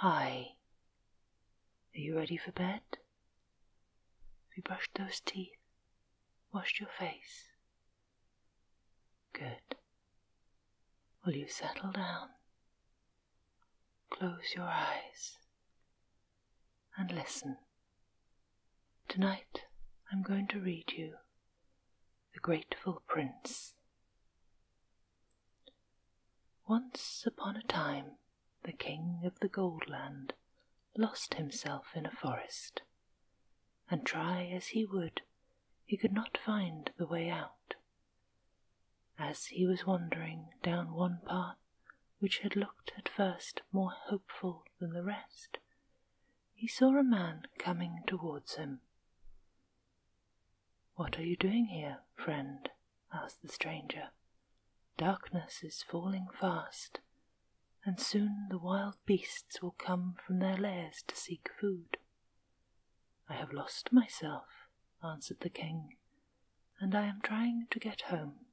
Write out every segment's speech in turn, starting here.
Hi. Are you ready for bed? Have you brushed those teeth? Washed your face? Good. Will you settle down? Close your eyes and listen. Tonight I'm going to read you The Grateful Prince. Once upon a time, the king of the Gold Land lost himself in a forest, and try as he would, he could not find the way out. As he was wandering down one path which had looked at first more hopeful than the rest, he saw a man coming towards him. What are you doing here, friend? asked the stranger. Darkness is falling fast, and soon the wild beasts will come from their lairs to seek food. I have lost myself, answered the king, and I am trying to get home.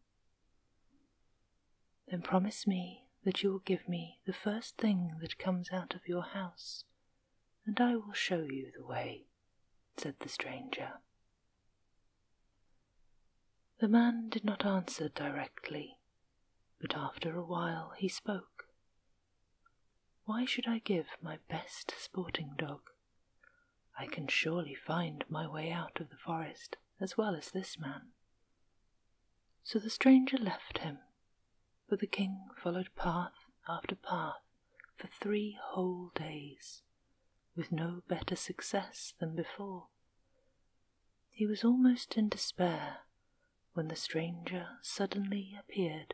Then promise me that you will give me the first thing that comes out of your house, and I will show you the way said the stranger. The man did not answer directly, but after a while he spoke. Why should I give my best sporting dog? I can surely find my way out of the forest as well as this man. So the stranger left him, but the king followed path after path for three whole days, with no better success than before. He was almost in despair when the stranger suddenly appeared,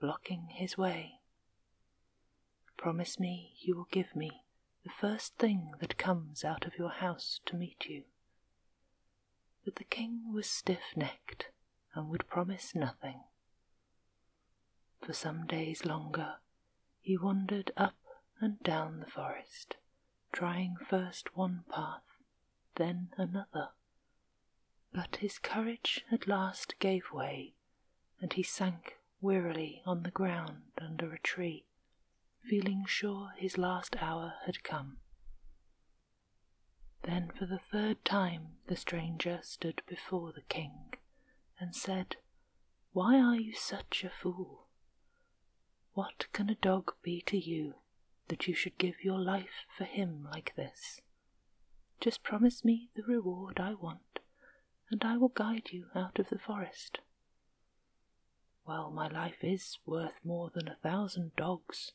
blocking his way. Promise me you will give me the first thing that comes out of your house to meet you. But the king was stiff necked and would promise nothing for some days longer he wandered up and down the forest, trying first one path, then another. But his courage at last gave way, and he sank wearily on the ground under a tree, feeling sure his last hour had come. Then for the third time the stranger stood before the king and said, Why are you such a fool? What can a dog be to you that you should give your life for him like this? Just promise me the reward I want, and I will guide you out of the forest. Well, my life is worth more than a thousand dogs,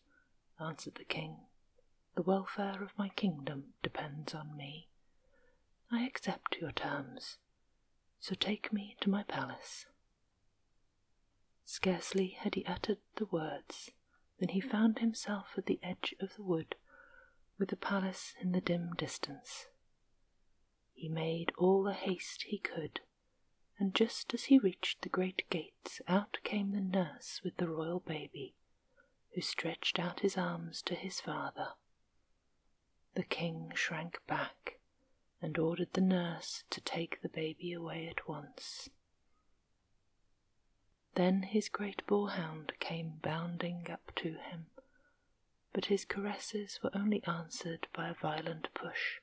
answered the king, the welfare of my kingdom depends on me. I accept your terms, so take me to my palace. Scarcely had he uttered the words than he found himself at the edge of the wood, with the palace in the dim distance. He made all the haste he could, and just as he reached the great gates, out came the nurse with the royal baby who stretched out his arms to his father. The king shrank back and ordered the nurse to take the baby away at once. Then his great boarhound came bounding up to him, but his caresses were only answered by a violent push.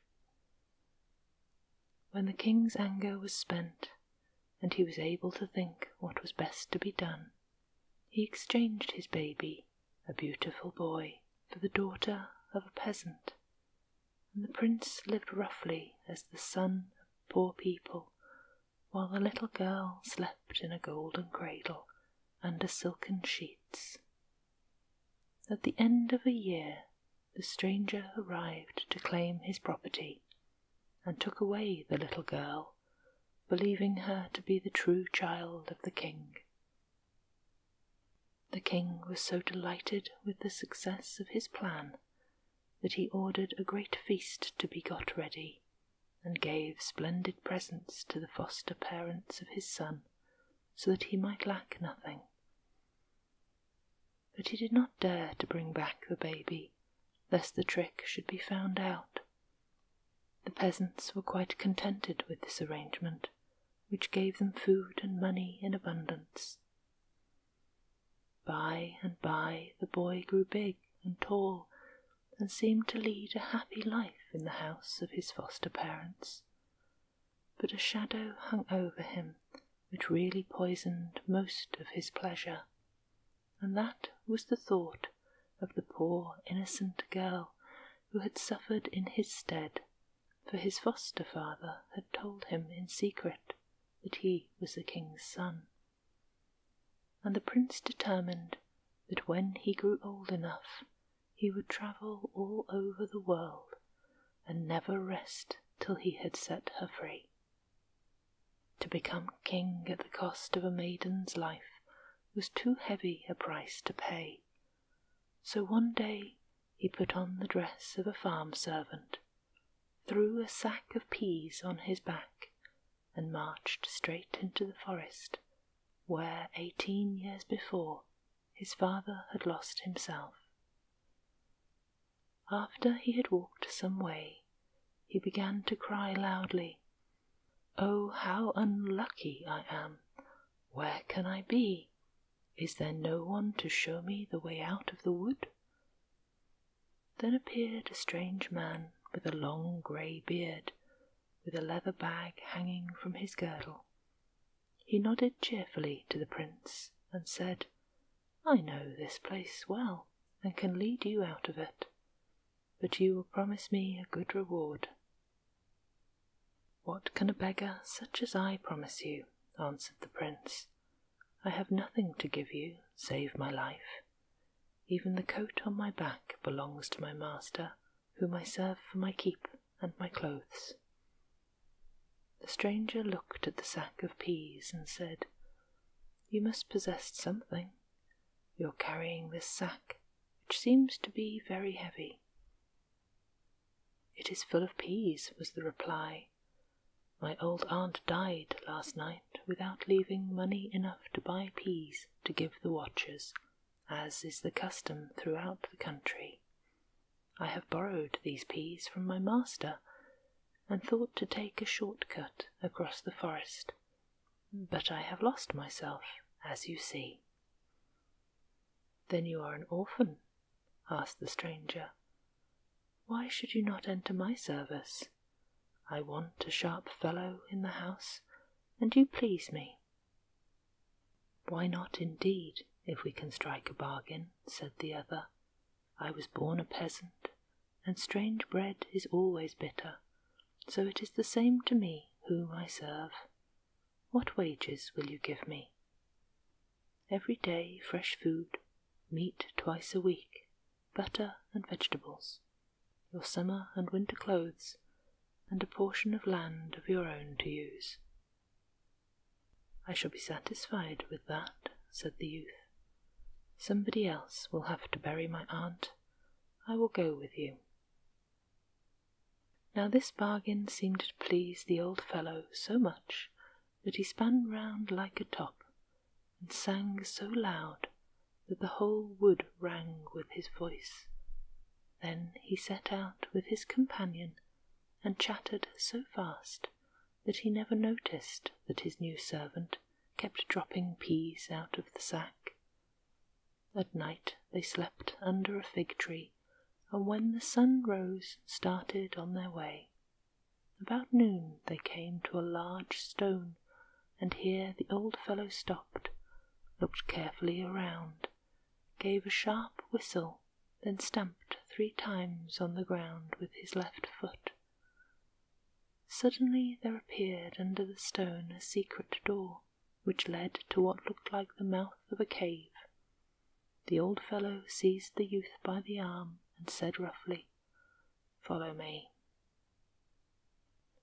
When the king's anger was spent, and he was able to think what was best to be done. He exchanged his baby, a beautiful boy, for the daughter of a peasant, and the prince lived roughly as the son of poor people, while the little girl slept in a golden cradle under silken sheets. At the end of a year, the stranger arrived to claim his property and took away the little girl, believing her to be the true child of the king. The king was so delighted with the success of his plan that he ordered a great feast to be got ready and gave splendid presents to the foster parents of his son so that he might lack nothing. But he did not dare to bring back the baby lest the trick should be found out. The peasants were quite contented with this arrangement, which gave them food and money in abundance. By and by the boy grew big and tall, and seemed to lead a happy life in the house of his foster parents. But a shadow hung over him which really poisoned most of his pleasure and that was the thought of the poor innocent girl who had suffered in his stead, for his foster father had told him in secret that he was the king's son. And the prince determined that when he grew old enough, he would travel all over the world and never rest till he had set her free. To become king at the cost of a maiden's life was too heavy a price to pay, so one day he put on the dress of a farm servant, threw a sack of peas on his back, and marched straight into the forest where eighteen years before his father had lost himself. After he had walked some way, he began to cry loudly, Oh, how unlucky I am! Where can I be? Is there no one to show me the way out of the wood? Then appeared a strange man with a long grey beard, with a leather bag hanging from his girdle. He nodded cheerfully to the prince and said, I know this place well, and can lead you out of it, but you will promise me a good reward. What can a beggar such as I promise you? answered the prince. I have nothing to give you save my life. Even the coat on my back belongs to my master, whom I serve for my keep and my clothes. The stranger looked at the sack of peas and said, you must possess something. You're carrying this sack, which seems to be very heavy. It is full of peas, was the reply. My old aunt died last night without leaving money enough to buy peas to give the watchers, as is the custom throughout the country. I have borrowed these peas from my master, and thought to take a short cut across the forest, but I have lost myself, as you see. Then you are an orphan? asked the stranger. Why should you not enter my service? I want a sharp fellow in the house, and you please me. Why not, indeed, if we can strike a bargain? said the other. I was born a peasant, and strange bread is always bitter, so it is the same to me whom I serve. What wages will you give me? Every day fresh food, meat twice a week, butter and vegetables, your summer and winter clothes, and a portion of land of your own to use. I shall be satisfied with that, said the youth, Somebody else will have to bury my aunt. I will go with you. Now this bargain seemed to please the old fellow so much that he spun round like a top and sang so loud that the whole wood rang with his voice. Then he set out with his companion and chattered so fast that he never noticed that his new servant kept dropping peas out of the sack. At night they slept under a fig tree, and when the sun rose, started on their way. About noon they came to a large stone, and here the old fellow stopped, looked carefully around, gave a sharp whistle, then stamped three times on the ground with his left foot. Suddenly there appeared under the stone a secret door, which led to what looked like the mouth of a cave. The old fellow seized the youth by the arm and said roughly, Follow me.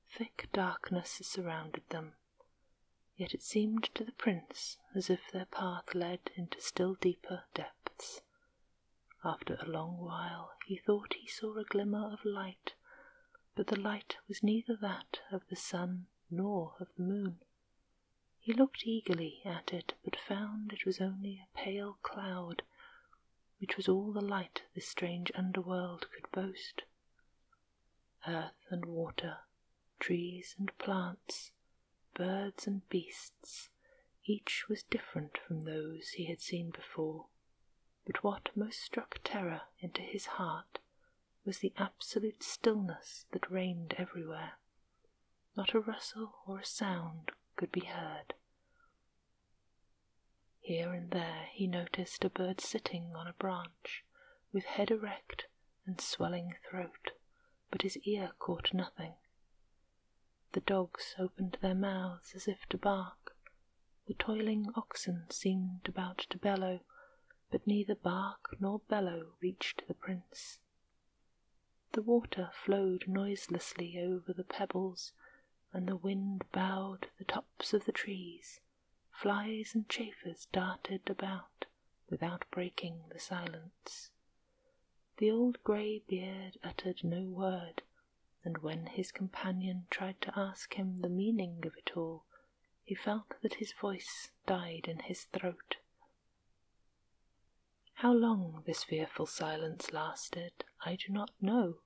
Thick darkness surrounded them, yet it seemed to the prince as if their path led into still deeper depths. After a long while he thought he saw a glimmer of light, but the light was neither that of the sun nor of the moon. He looked eagerly at it, but found it was only a pale cloud, which was all the light this strange underworld could boast. Earth and water, trees and plants, birds and beasts, each was different from those he had seen before, but what most struck terror into his heart was the absolute stillness that reigned everywhere. Not a rustle or a sound could be heard. Here and there he noticed a bird sitting on a branch, with head erect and swelling throat, but his ear caught nothing. The dogs opened their mouths as if to bark. The toiling oxen seemed about to bellow, but neither bark nor bellow reached the prince. The water flowed noiselessly over the pebbles, and the wind bowed the tops of the trees. Flies and chafers darted about without breaking the silence. The old grey beard uttered no word and when his companion tried to ask him the meaning of it all, he felt that his voice died in his throat. How long this fearful silence lasted, I do not know,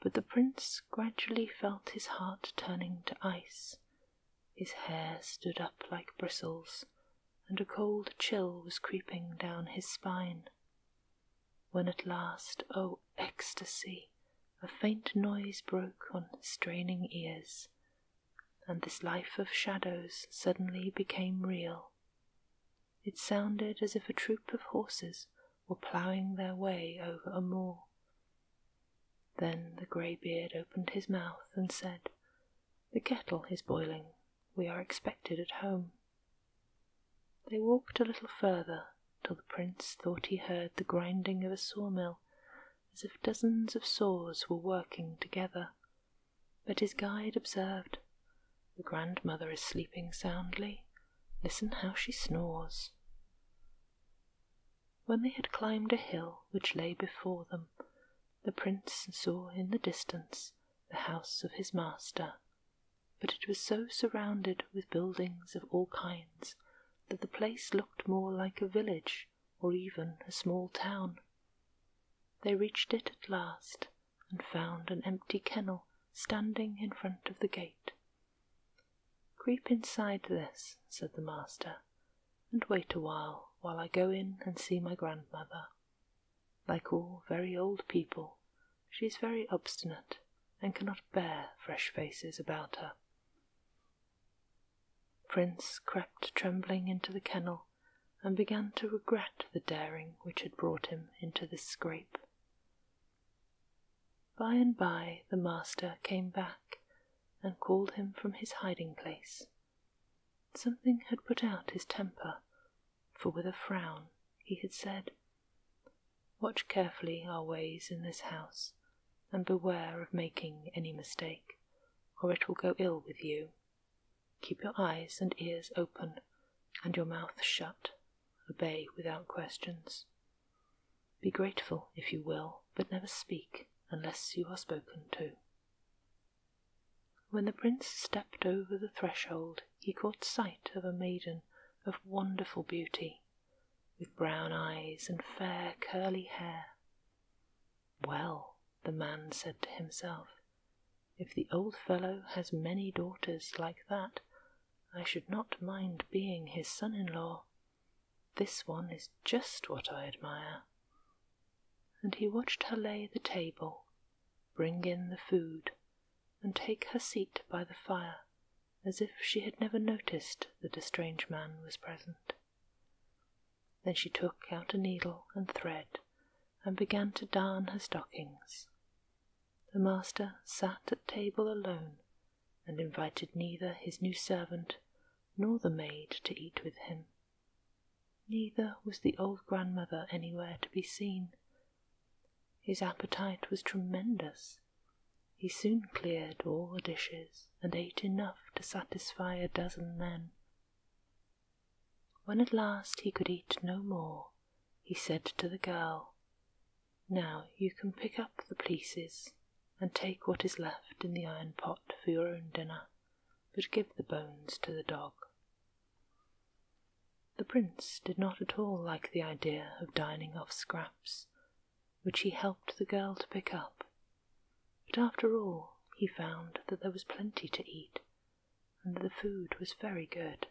but the prince gradually felt his heart turning to ice. His hair stood up like bristles, and a cold chill was creeping down his spine when at last, oh ecstasy, a faint noise broke on straining ears, and this life of shadows suddenly became real. It sounded as if a troop of horses were ploughing their way over a moor. Then the greybeard opened his mouth and said, The kettle is boiling. We are expected at home. They walked a little further till the prince thought he heard the grinding of a sawmill, as if dozens of saws were working together. But his guide observed, The grandmother is sleeping soundly. Listen how she snores. When they had climbed a hill which lay before them, the prince saw in the distance the house of his master but it was so surrounded with buildings of all kinds that the place looked more like a village or even a small town. They reached it at last and found an empty kennel standing in front of the gate. Creep inside this, said the master, and wait a while while I go in and see my grandmother. Like all very old people, she is very obstinate and cannot bear fresh faces about her. Prince crept trembling into the kennel and began to regret the daring which had brought him into this scrape. By and by the master came back and called him from his hiding place. Something had put out his temper for with a frown he had said, Watch carefully our ways in this house, and beware of making any mistake, or it will go ill with you. Keep your eyes and ears open, and your mouth shut. Obey without questions. Be grateful if you will, but never speak unless you are spoken to. When the prince stepped over the threshold, he caught sight of a maiden of wonderful beauty, with brown eyes and fair curly hair. Well, the man said to himself, if the old fellow has many daughters like that, I should not mind being his son in law. This one is just what I admire. And he watched her lay the table, bring in the food, and take her seat by the fire, as if she had never noticed that a strange man was present. Then she took out a needle and thread, and began to darn her stockings. The master sat at table alone, and invited neither his new servant nor the maid to eat with him. Neither was the old grandmother anywhere to be seen, his appetite was tremendous. He soon cleared all the dishes and ate enough to satisfy a dozen men. When at last he could eat no more, he said to the girl, Now you can pick up the pieces and take what is left in the iron pot for your own dinner, but give the bones to the dog. The prince did not at all like the idea of dining off scraps, which he helped the girl to pick up, but after all he found that there was plenty to eat, and the food was very good.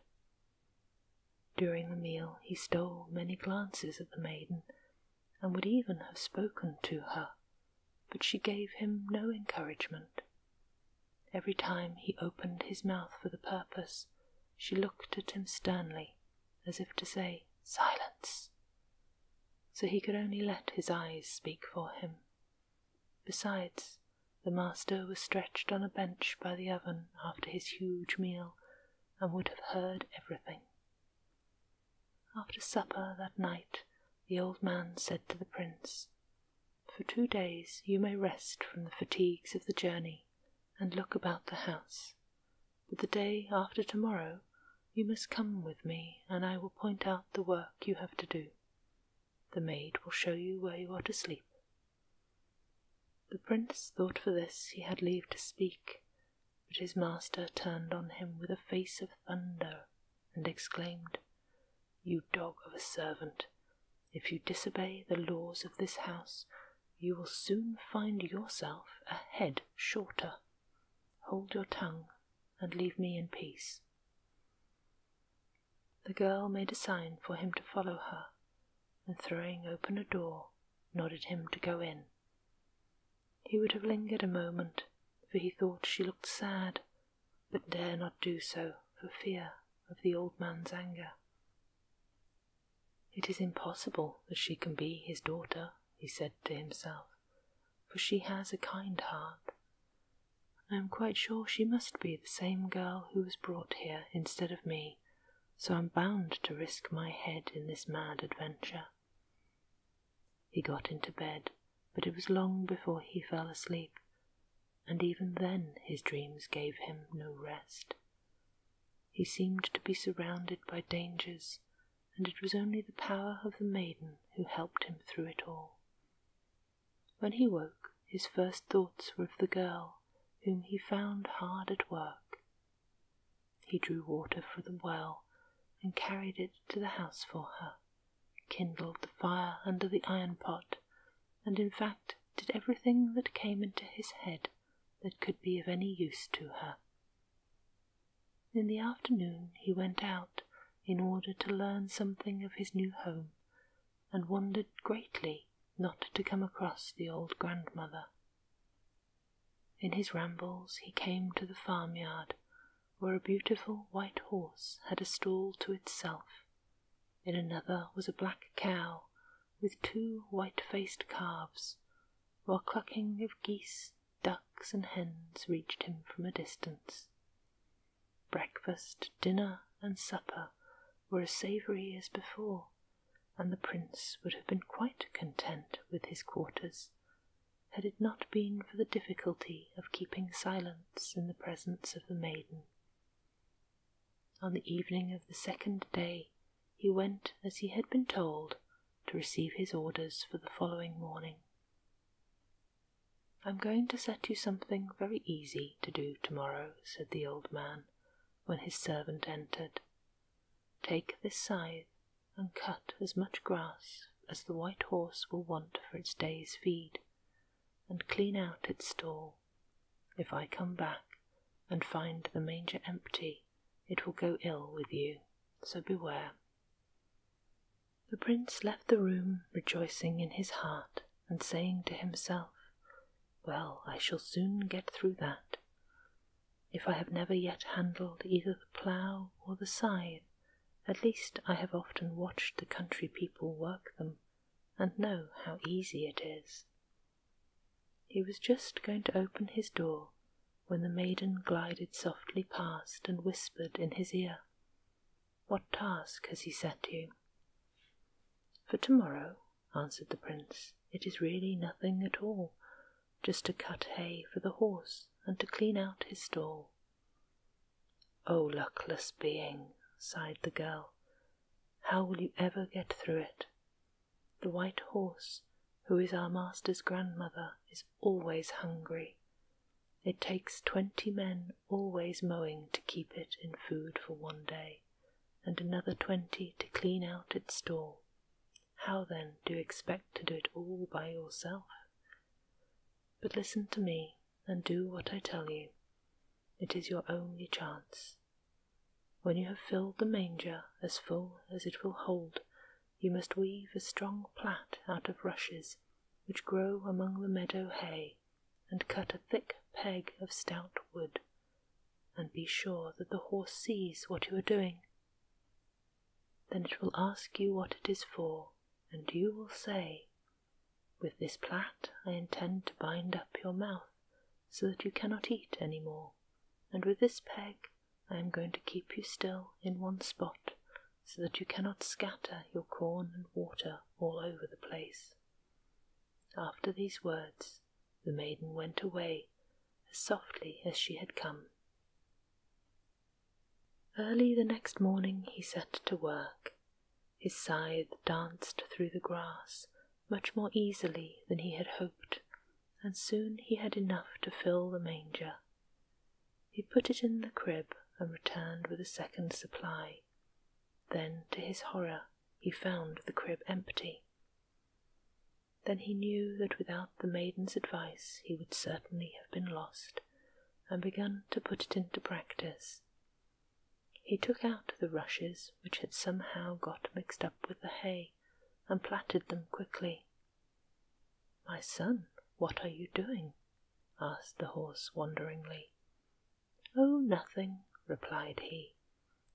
During the meal he stole many glances at the maiden, and would even have spoken to her, but she gave him no encouragement. Every time he opened his mouth for the purpose, she looked at him sternly, as if to say, Silence! So he could only let his eyes speak for him. Besides, the master was stretched on a bench by the oven after his huge meal and would have heard everything. After supper that night, the old man said to the prince, for two days you may rest from the fatigues of the journey and look about the house, but the day after tomorrow you must come with me and I will point out the work you have to do. The maid will show you where you are to sleep. The prince thought for this he had leave to speak, but his master turned on him with a face of thunder and exclaimed, you dog of a servant, if you disobey the laws of this house, you will soon find yourself a head shorter. Hold your tongue and leave me in peace. The girl made a sign for him to follow her, and throwing open a door, nodded him to go in. He would have lingered a moment, for he thought she looked sad but dare not do so for fear of the old man's anger. It is impossible that she can be his daughter, he said to himself, for she has a kind heart. I am quite sure she must be the same girl who was brought here instead of me, so I'm bound to risk my head in this mad adventure. He got into bed, but it was long before he fell asleep, and even then his dreams gave him no rest. He seemed to be surrounded by dangers, and it was only the power of the maiden who helped him through it all. When he woke, his first thoughts were of the girl whom he found hard at work. He drew water from the well and carried it to the house for her kindled the fire under the iron pot, and in fact did everything that came into his head that could be of any use to her. In the afternoon he went out in order to learn something of his new home, and wondered greatly not to come across the old grandmother. In his rambles he came to the farmyard, where a beautiful white horse had a stall to itself in another was a black cow with two white faced calves, while clucking of geese, ducks, and hens reached him from a distance. Breakfast, dinner, and supper were as savoury as before, and the prince would have been quite content with his quarters had it not been for the difficulty of keeping silence in the presence of the maiden. On the evening of the second day, he went as he had been told to receive his orders for the following morning. I'm going to set you something very easy to do tomorrow, said the old man when his servant entered. Take this scythe and cut as much grass as the white horse will want for its day's feed and clean out its stall. If I come back and find the manger empty, it will go ill with you, so beware. The prince left the room rejoicing in his heart and saying to himself, Well, I shall soon get through that. If I have never yet handled either the plough or the scythe, at least I have often watched the country people work them and know how easy it is. He was just going to open his door when the maiden glided softly past and whispered in his ear, What task has he set you? For tomorrow, answered the prince, it is really nothing at all, just to cut hay for the horse and to clean out his stall. Oh, luckless being, sighed the girl, how will you ever get through it? The white horse, who is our master's grandmother, is always hungry. It takes twenty men always mowing to keep it in food for one day, and another twenty to clean out its stall. How then do you expect to do it all by yourself? But listen to me, and do what I tell you. It is your only chance. When you have filled the manger as full as it will hold, you must weave a strong plait out of rushes which grow among the meadow hay, and cut a thick peg of stout wood, and be sure that the horse sees what you are doing. Then it will ask you what it is for, and you will say, with this plait I intend to bind up your mouth so that you cannot eat any more, and with this peg I am going to keep you still in one spot so that you cannot scatter your corn and water all over the place. After these words, the maiden went away as softly as she had come. Early the next morning he set to work, his scythe danced through the grass much more easily than he had hoped, and soon he had enough to fill the manger. He put it in the crib and returned with a second supply. Then, to his horror, he found the crib empty. Then he knew that without the maiden's advice he would certainly have been lost, and began to put it into practice. He took out the rushes which had somehow got mixed up with the hay, and plaited them quickly. My son, what are you doing? asked the horse wonderingly. Oh, nothing, replied he,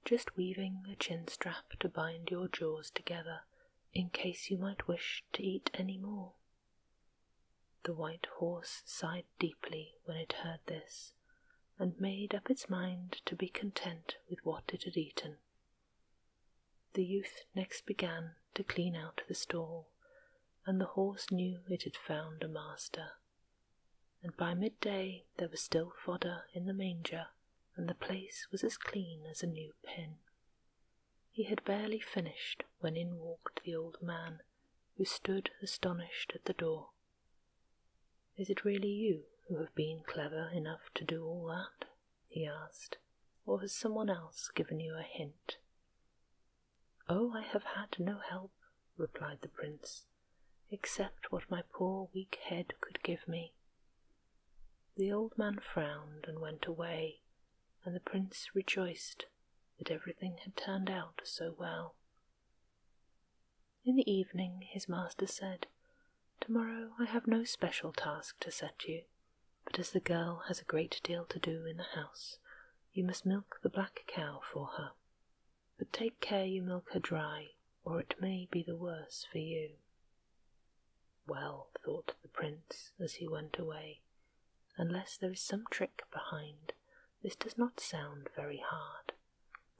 just weaving a chin strap to bind your jaws together, in case you might wish to eat any more. The white horse sighed deeply when it heard this, and made up its mind to be content with what it had eaten. The youth next began to clean out the stall, and the horse knew it had found a master. And by midday there was still fodder in the manger, and the place was as clean as a new pin. He had barely finished when in walked the old man who stood astonished at the door. Is it really you who have been clever enough to do all that? he asked, or has someone else given you a hint? Oh, I have had no help, replied the prince, except what my poor weak head could give me. The old man frowned and went away, and the prince rejoiced that everything had turned out so well. In the evening, his master said, Tomorrow I have no special task to set you, but as the girl has a great deal to do in the house, you must milk the black cow for her. But take care you milk her dry, or it may be the worse for you. Well, thought the prince as he went away, Unless there is some trick behind, this does not sound very hard.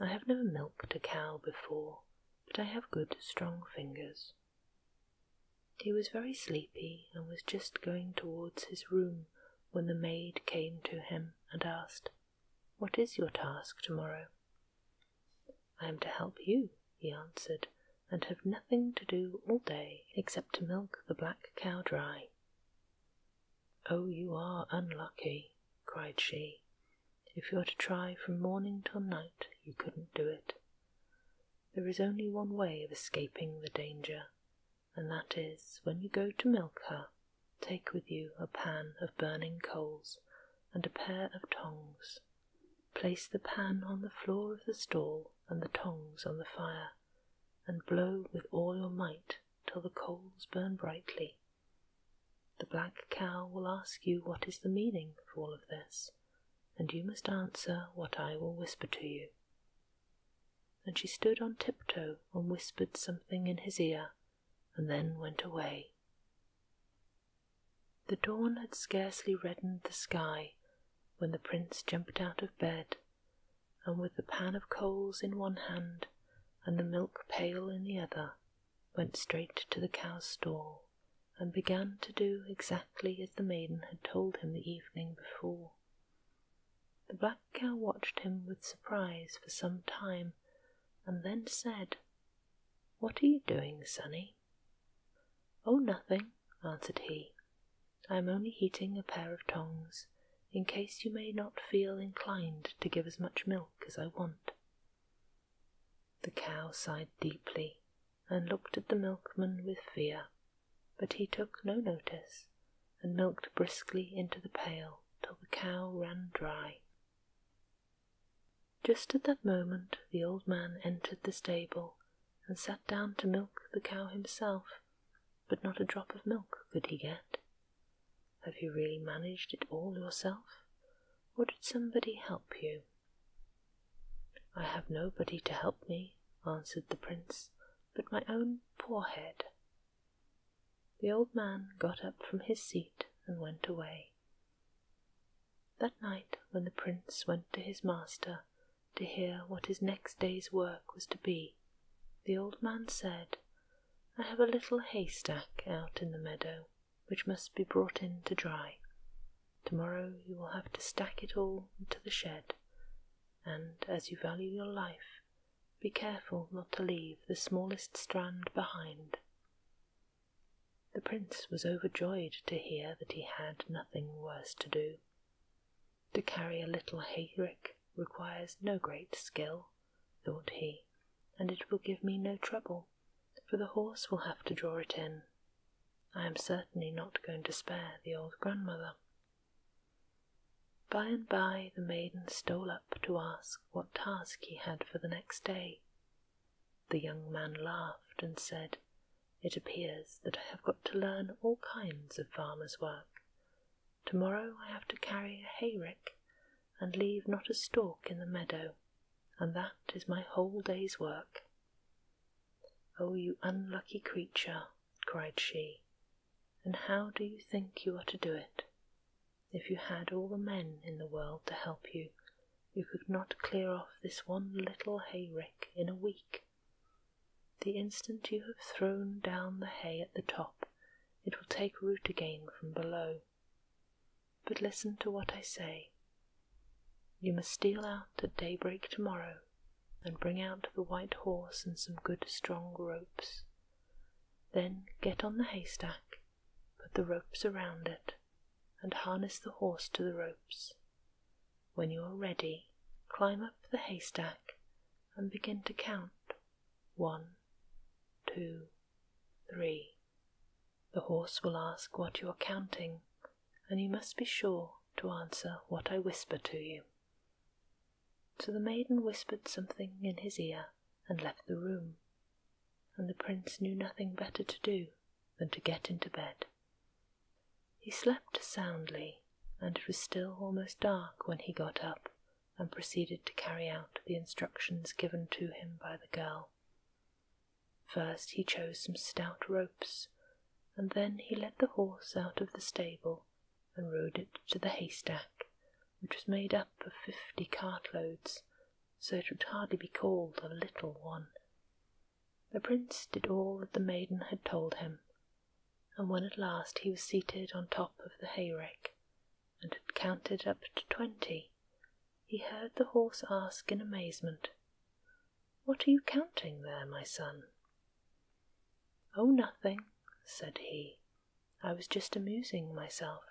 I have never milked a cow before, but I have good, strong fingers. He was very sleepy and was just going towards his room when the maid came to him and asked, What is your task tomorrow? I am to help you, he answered, and have nothing to do all day except to milk the black cow dry. Oh, you are unlucky, cried she. If you were to try from morning till night, you couldn't do it. There is only one way of escaping the danger, and that is when you go to milk her, take with you a pan of burning coals and a pair of tongs. Place the pan on the floor of the stall and the tongs on the fire, and blow with all your might till the coals burn brightly. The black cow will ask you what is the meaning of all of this, and you must answer what I will whisper to you. And she stood on tiptoe and whispered something in his ear, and then went away. The dawn had scarcely reddened the sky when the prince jumped out of bed and with the pan of coals in one hand and the milk pail in the other, went straight to the cow's stall and began to do exactly as the maiden had told him the evening before. The black cow watched him with surprise for some time, and then said, What are you doing, sonny? Oh, nothing, answered he. I am only heating a pair of tongs in case you may not feel inclined to give as much milk as I want. The cow sighed deeply and looked at the milkman with fear, but he took no notice and milked briskly into the pail till the cow ran dry. Just at that moment the old man entered the stable and sat down to milk the cow himself but not a drop of milk could he get. Have you really managed it all yourself, or did somebody help you? I have nobody to help me, answered the prince, but my own poor head. The old man got up from his seat and went away. That night, when the prince went to his master, to hear what his next day's work was to be, the old man said, I have a little haystack out in the meadow which must be brought in to dry. Tomorrow you will have to stack it all into the shed, and as you value your life, be careful not to leave the smallest strand behind. The prince was overjoyed to hear that he had nothing worse to do. To carry a little hayrick requires no great skill, thought he, and it will give me no trouble, for the horse will have to draw it in. I am certainly not going to spare the old grandmother. By and by, the maiden stole up to ask what task he had for the next day. The young man laughed and said, It appears that I have got to learn all kinds of farmer's work, Tomorrow I have to carry a hayrick and leave not a stalk in the meadow, and that is my whole day's work. Oh, you unlucky creature, cried she, and how do you think you are to do it? If you had all the men in the world to help you, you could not clear off this one little hayrick in a week. The instant you have thrown down the hay at the top, it will take root again from below. But listen to what I say. You must steal out at daybreak tomorrow and bring out the white horse and some good strong ropes. Then get on the haystack, put the ropes around it, and harness the horse to the ropes. When you are ready, climb up the haystack and begin to count. One, two, three. The horse will ask what you are counting, and you must be sure to answer what I whisper to you. So the maiden whispered something in his ear and left the room, and the prince knew nothing better to do than to get into bed. He slept soundly, and it was still almost dark when he got up and proceeded to carry out the instructions given to him by the girl. First he chose some stout ropes, and then he led the horse out of the stable and rode it to the haystack, which was made up of fifty cartloads, so it would hardly be called a little one. The prince did all that the maiden had told him and when at last he was seated on top of the hayrick and had counted up to twenty, he heard the horse ask in amazement, What are you counting there, my son? Oh, nothing, said he. I was just amusing myself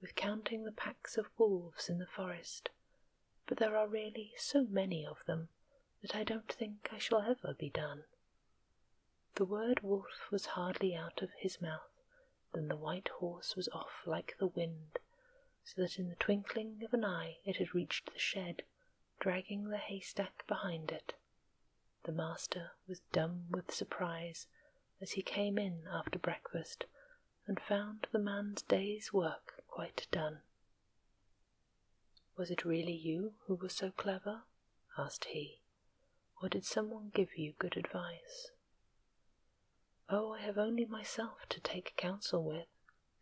with counting the packs of wolves in the forest, but there are really so many of them that I don't think I shall ever be done. The word wolf was hardly out of his mouth than the white horse was off like the wind, so that in the twinkling of an eye it had reached the shed, dragging the haystack behind it. The master was dumb with surprise as he came in after breakfast and found the man's day's work quite done. Was it really you who was so clever? asked he, or did someone give you good advice? Oh, I have only myself to take counsel with,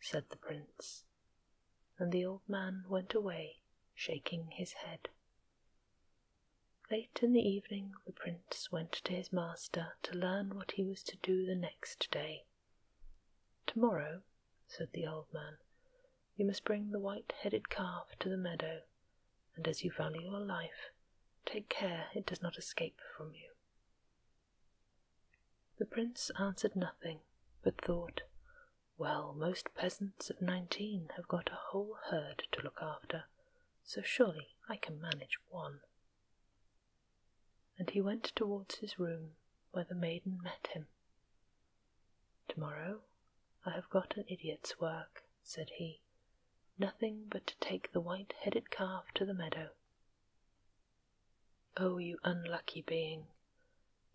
said the prince, and the old man went away, shaking his head. Late in the evening, the prince went to his master to learn what he was to do the next day. Tomorrow, said the old man, you must bring the white headed calf to the meadow, and as you value your life, take care it does not escape from you. The prince answered nothing, but thought, Well, most peasants of nineteen have got a whole herd to look after, so surely I can manage one. And he went towards his room, where the maiden met him. Tomorrow I have got an idiot's work, said he, nothing but to take the white headed calf to the meadow. Oh, you unlucky being,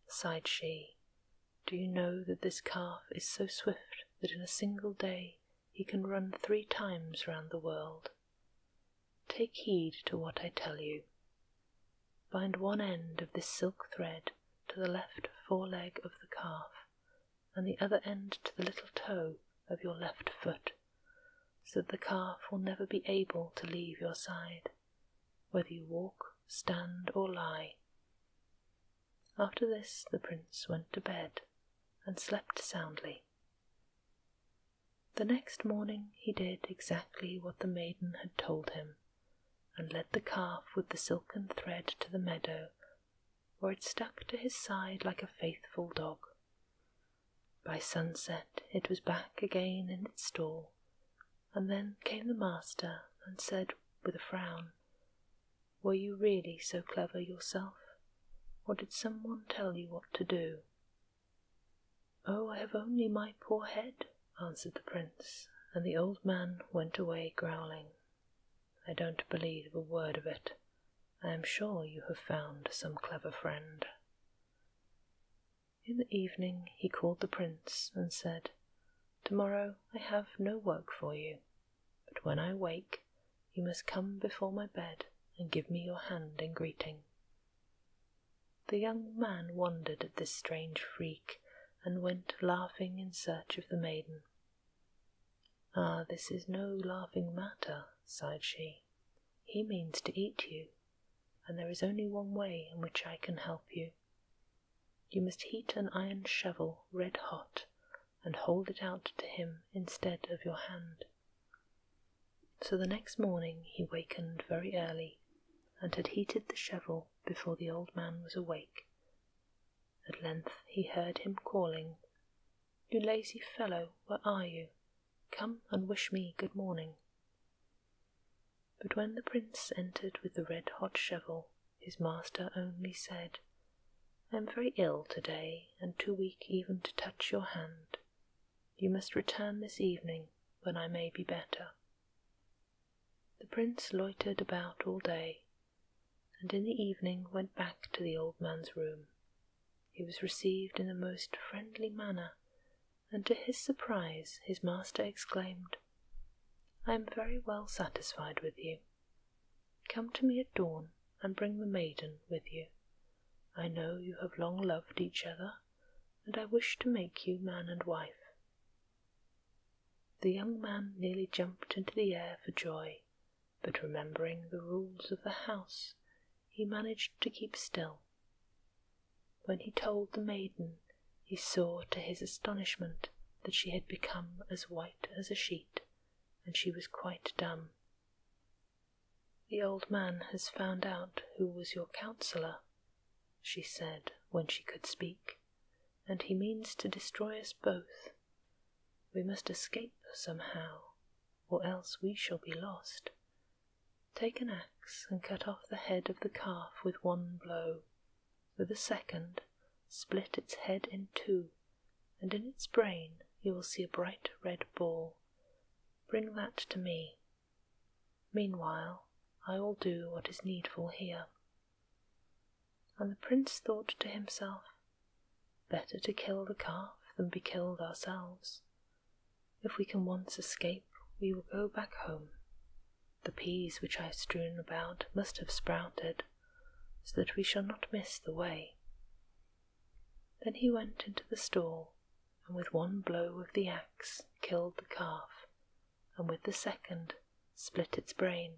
sighed she, do you know that this calf is so swift that in a single day he can run three times round the world? Take heed to what I tell you. Bind one end of this silk thread to the left foreleg of the calf, and the other end to the little toe of your left foot, so that the calf will never be able to leave your side, whether you walk, stand, or lie. After this, the prince went to bed and slept soundly. The next morning he did exactly what the maiden had told him and led the calf with the silken thread to the meadow, where it stuck to his side like a faithful dog. By sunset it was back again in its stall, and then came the master and said with a frown, Were you really so clever yourself, or did someone tell you what to do? Oh, I have only my poor head, answered the prince, and the old man went away growling. I don't believe a word of it. I am sure you have found some clever friend. In the evening he called the prince and said, Tomorrow I have no work for you, but when I wake, you must come before my bed and give me your hand in greeting. The young man wondered at this strange freak, and went laughing in search of the maiden. Ah, this is no laughing matter, sighed she. He means to eat you, and there is only one way in which I can help you. You must heat an iron shovel red hot, and hold it out to him instead of your hand. So the next morning he wakened very early and had heated the shovel before the old man was awake. At length he heard him calling, You lazy fellow, where are you? Come and wish me good morning. But when the prince entered with the red hot shovel, his master only said, I am very ill today, and too weak even to touch your hand. You must return this evening, when I may be better. The prince loitered about all day, and in the evening went back to the old man's room. He was received in the most friendly manner, and to his surprise his master exclaimed, I am very well satisfied with you. Come to me at dawn and bring the maiden with you. I know you have long loved each other, and I wish to make you man and wife. The young man nearly jumped into the air for joy, but remembering the rules of the house, he managed to keep still. When he told the maiden, he saw to his astonishment that she had become as white as a sheet, and she was quite dumb. The old man has found out who was your counsellor," she said when she could speak and he means to destroy us both. We must escape somehow, or else we shall be lost. Take an axe and cut off the head of the calf with one blow. With a second, split its head in two, and in its brain you will see a bright red ball. Bring that to me, Meanwhile, I will do what is needful here. And the prince thought to himself, Better to kill the calf than be killed ourselves. If we can once escape, we will go back home. The peas which I have strewn about must have sprouted, so that we shall not miss the way. Then he went into the stall, and with one blow of the axe killed the calf, and with the second split its brain.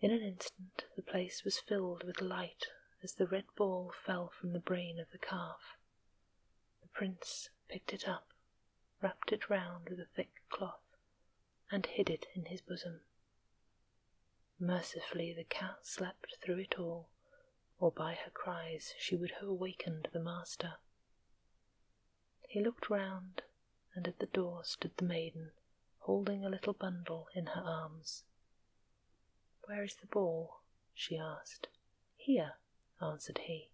In an instant, the place was filled with light as the red ball fell from the brain of the calf. The prince picked it up, wrapped it round with a thick cloth, and hid it in his bosom. Mercifully, the cat slept through it all, or by her cries she would have awakened the master. He looked round, and at the door stood the maiden, holding a little bundle in her arms. Where is the ball? she asked. Here, answered he.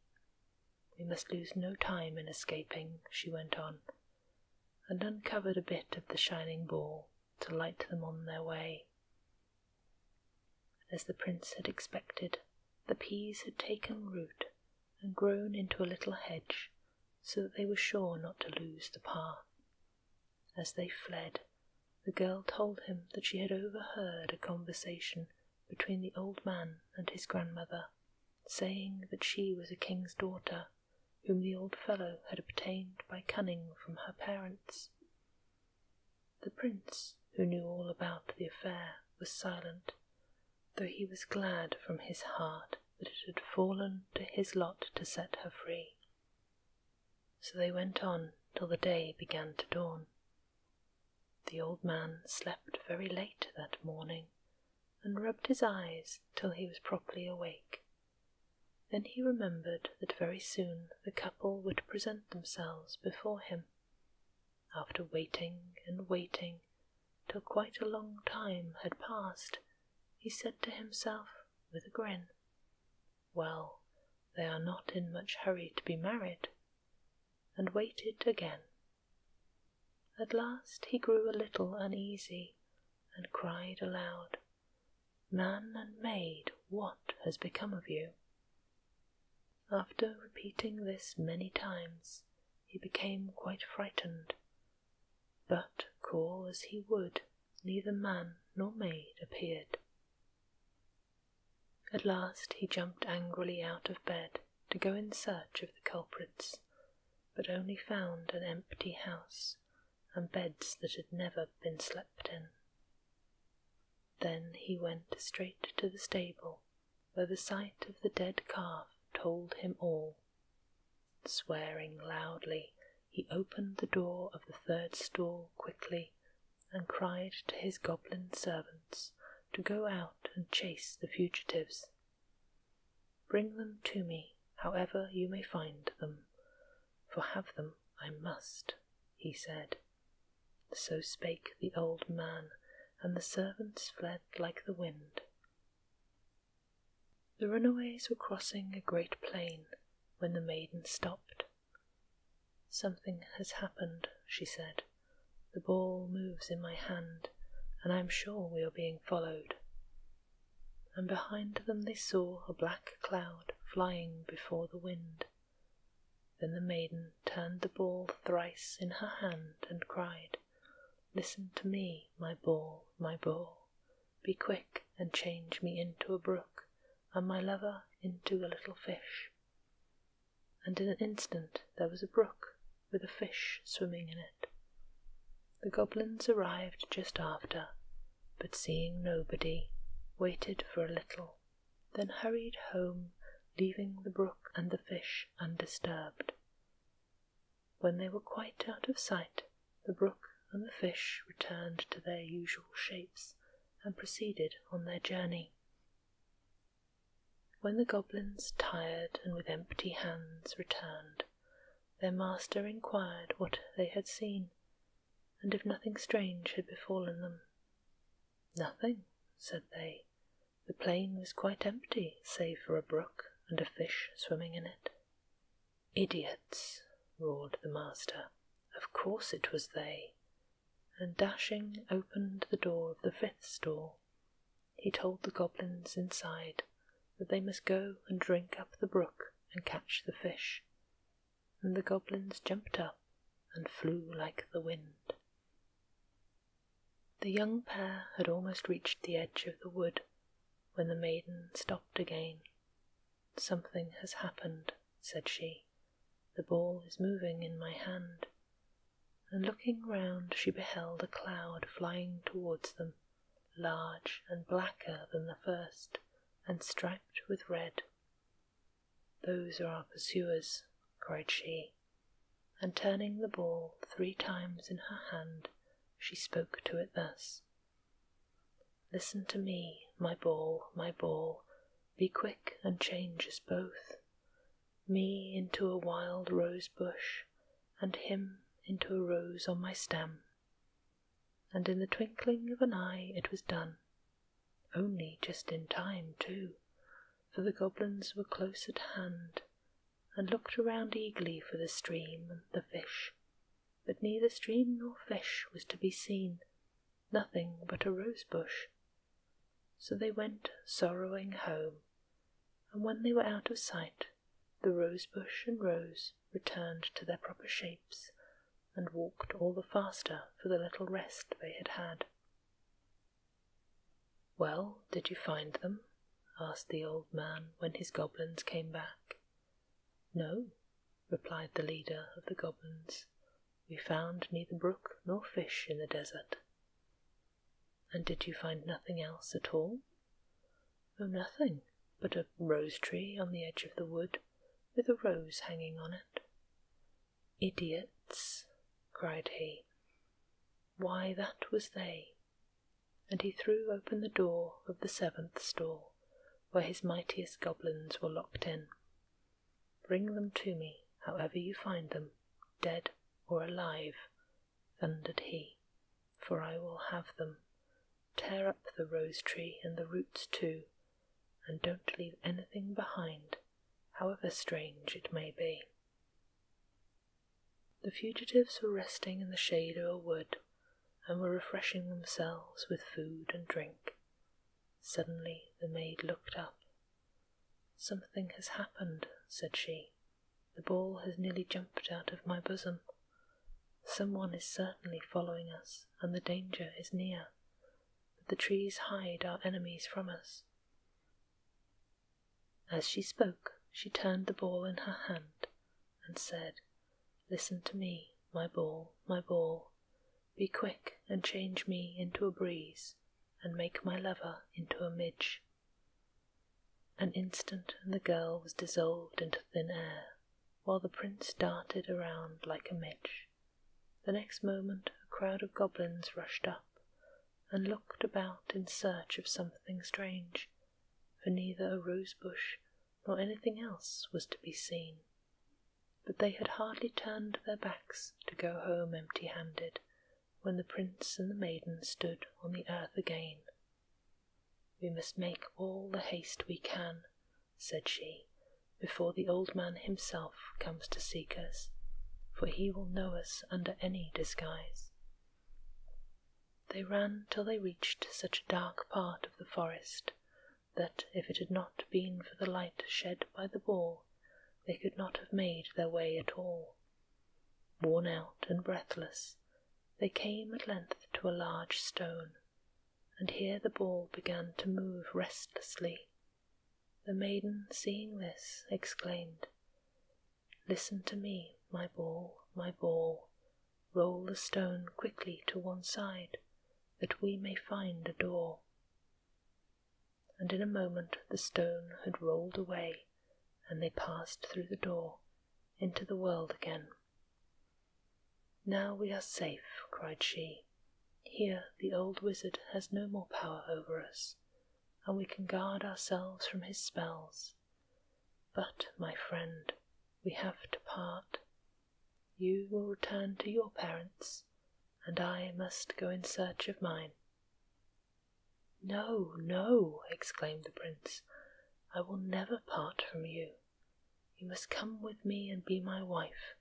We must lose no time in escaping, she went on, and uncovered a bit of the shining ball to light them on their way. As the prince had expected, the peas had taken root and grown into a little hedge so that they were sure not to lose the path. As they fled, the girl told him that she had overheard a conversation between the old man and his grandmother, saying that she was a king's daughter, whom the old fellow had obtained by cunning from her parents. The prince, who knew all about the affair, was silent though he was glad from his heart that it had fallen to his lot to set her free. So they went on till the day began to dawn. The old man slept very late that morning, and rubbed his eyes till he was properly awake. Then he remembered that very soon the couple would present themselves before him, after waiting and waiting till quite a long time had passed, he said to himself with a grin, Well, they are not in much hurry to be married, and waited again. At last he grew a little uneasy and cried aloud, Man and maid, what has become of you? After repeating this many times, he became quite frightened. But call as he would, neither man nor maid appeared. At last he jumped angrily out of bed to go in search of the culprits, but only found an empty house and beds that had never been slept in. Then he went straight to the stable Though the sight of the dead calf told him all. Swearing loudly, he opened the door of the third store quickly and cried to his goblin servants to go out and chase the fugitives. Bring them to me, however you may find them, for have them I must, he said. So spake the old man, and the servants fled like the wind. The runaways were crossing a great plain when the maiden stopped. Something has happened, she said. The ball moves in my hand, and I am sure we are being followed. And behind them they saw a black cloud flying before the wind. Then the maiden turned the ball thrice in her hand, and cried, Listen to me, my ball, my ball, be quick and change me into a brook, and my lover into a little fish. And in an instant there was a brook with a fish swimming in it. The goblins arrived just after, but seeing nobody, waited for a little then hurried home, leaving the brook and the fish undisturbed. When they were quite out of sight, the brook and the fish returned to their usual shapes and proceeded on their journey. When the goblins, tired and with empty hands, returned, their master inquired what they had seen, and if nothing strange had befallen them. Nothing, said they the plain was quite empty, save for a brook and a fish swimming in it. Idiots! roared the master. Of course it was they. And dashing opened the door of the fifth store. he told the goblins inside that they must go and drink up the brook and catch the fish. And the goblins jumped up and flew like the wind. The young pair had almost reached the edge of the wood when the maiden stopped again. Something has happened, said she. The ball is moving in my hand. And looking round, she beheld a cloud flying towards them, large and blacker than the first, and striped with red. Those are our pursuers, cried she and turning the ball three times in her hand, she spoke to it thus Listen to me, my ball, my ball, be quick and change us both, me into a wild rose bush, and him into a rose on my stem. And in the twinkling of an eye it was done, only just in time, too for the goblins were close at hand, and looked around eagerly for the stream and the fish. But neither stream nor fish was to be seen, nothing but a rose bush. So they went sorrowing home, and when they were out of sight, the rose bush and rose returned to their proper shapes, and walked all the faster for the little rest they had had. Well, did you find them? asked the old man when his goblins came back. No, replied the leader of the goblins. We found neither brook nor fish in the desert. And did you find nothing else at all? Oh, nothing but a rose tree on the edge of the wood with a rose hanging on it. Idiots! cried he. Why, that was they! And he threw open the door of the seventh stall, where his mightiest goblins were locked in. Bring them to me, however you find them, dead or alive, thundered he, for I will have them. Tear up the rose tree and the roots too, and don't leave anything behind however strange it may be. The fugitives were resting in the shade of a wood and were refreshing themselves with food and drink. Suddenly the maid looked up. Something has happened, said she. The ball has nearly jumped out of my bosom. Some one is certainly following us, and the danger is near. But the trees hide our enemies from us. As she spoke, she turned the ball in her hand and said, Listen to me, my ball, my ball. Be quick and change me into a breeze, and make my lover into a midge. An instant and the girl was dissolved into thin air, while the prince darted around like a midge. The next moment a crowd of goblins rushed up, and looked about in search of something strange, for neither a rose bush, nor anything else was to be seen. But they had hardly turned their backs to go home empty handed when the prince and the maiden stood on the earth again. We must make all the haste we can, said she, before the old man himself comes to seek us, for he will know us under any disguise. They ran till they reached such a dark part of the forest that if it had not been for the light shed by the ball, they could not have made their way at all. Worn out and breathless, they came at length to a large stone, and here the ball began to move restlessly the maiden, seeing this, exclaimed, Listen to me, my ball, my ball, roll the stone quickly to one side, that we may find a door. And in a moment the stone had rolled away, and they passed through the door into the world again. Now we are safe, cried she. Here the old wizard has no more power over us, and we can guard ourselves from his spells. But, my friend, we have to part. You will return to your parents, and I must go in search of mine. No, no, exclaimed the prince, I will never part from you. You must come with me and be my wife,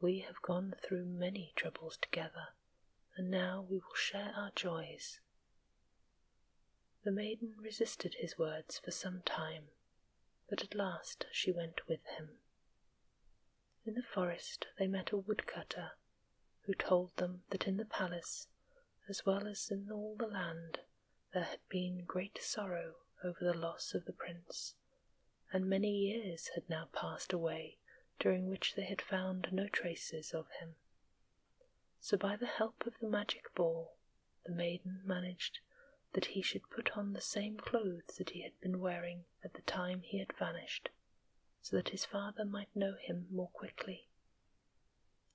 we have gone through many troubles together, and now we will share our joys. The maiden resisted his words for some time, but at last she went with him. In the forest they met a woodcutter who told them that in the palace, as well as in all the land, there had been great sorrow over the loss of the prince and many years had now passed away during which they had found no traces of him. So, by the help of the magic ball, the maiden managed that he should put on the same clothes that he had been wearing at the time he had vanished, so that his father might know him more quickly.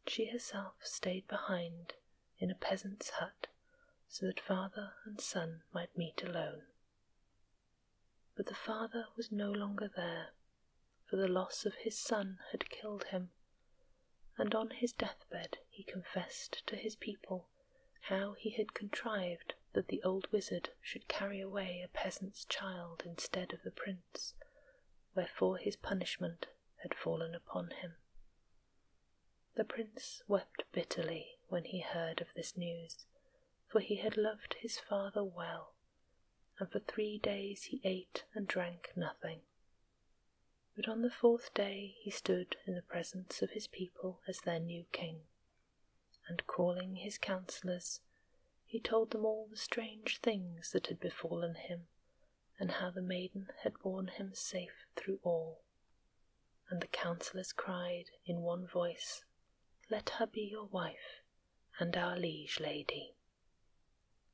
She herself stayed behind in a peasant's hut so that father and son might meet alone. But the father was no longer there, for the loss of his son had killed him, and on his deathbed he confessed to his people how he had contrived that the old wizard should carry away a peasant's child instead of the prince, wherefore his punishment had fallen upon him. The prince wept bitterly when he heard of this news for he had loved his father well, and for three days he ate and drank nothing. But on the fourth day he stood in the presence of his people as their new king, and calling his counsellors, he told them all the strange things that had befallen him, and how the maiden had borne him safe through all. And the counsellors cried in one voice let her be your wife and our liege lady.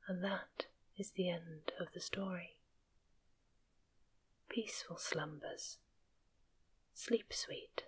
And that is the end of the story. Peaceful slumbers. Sleep sweet.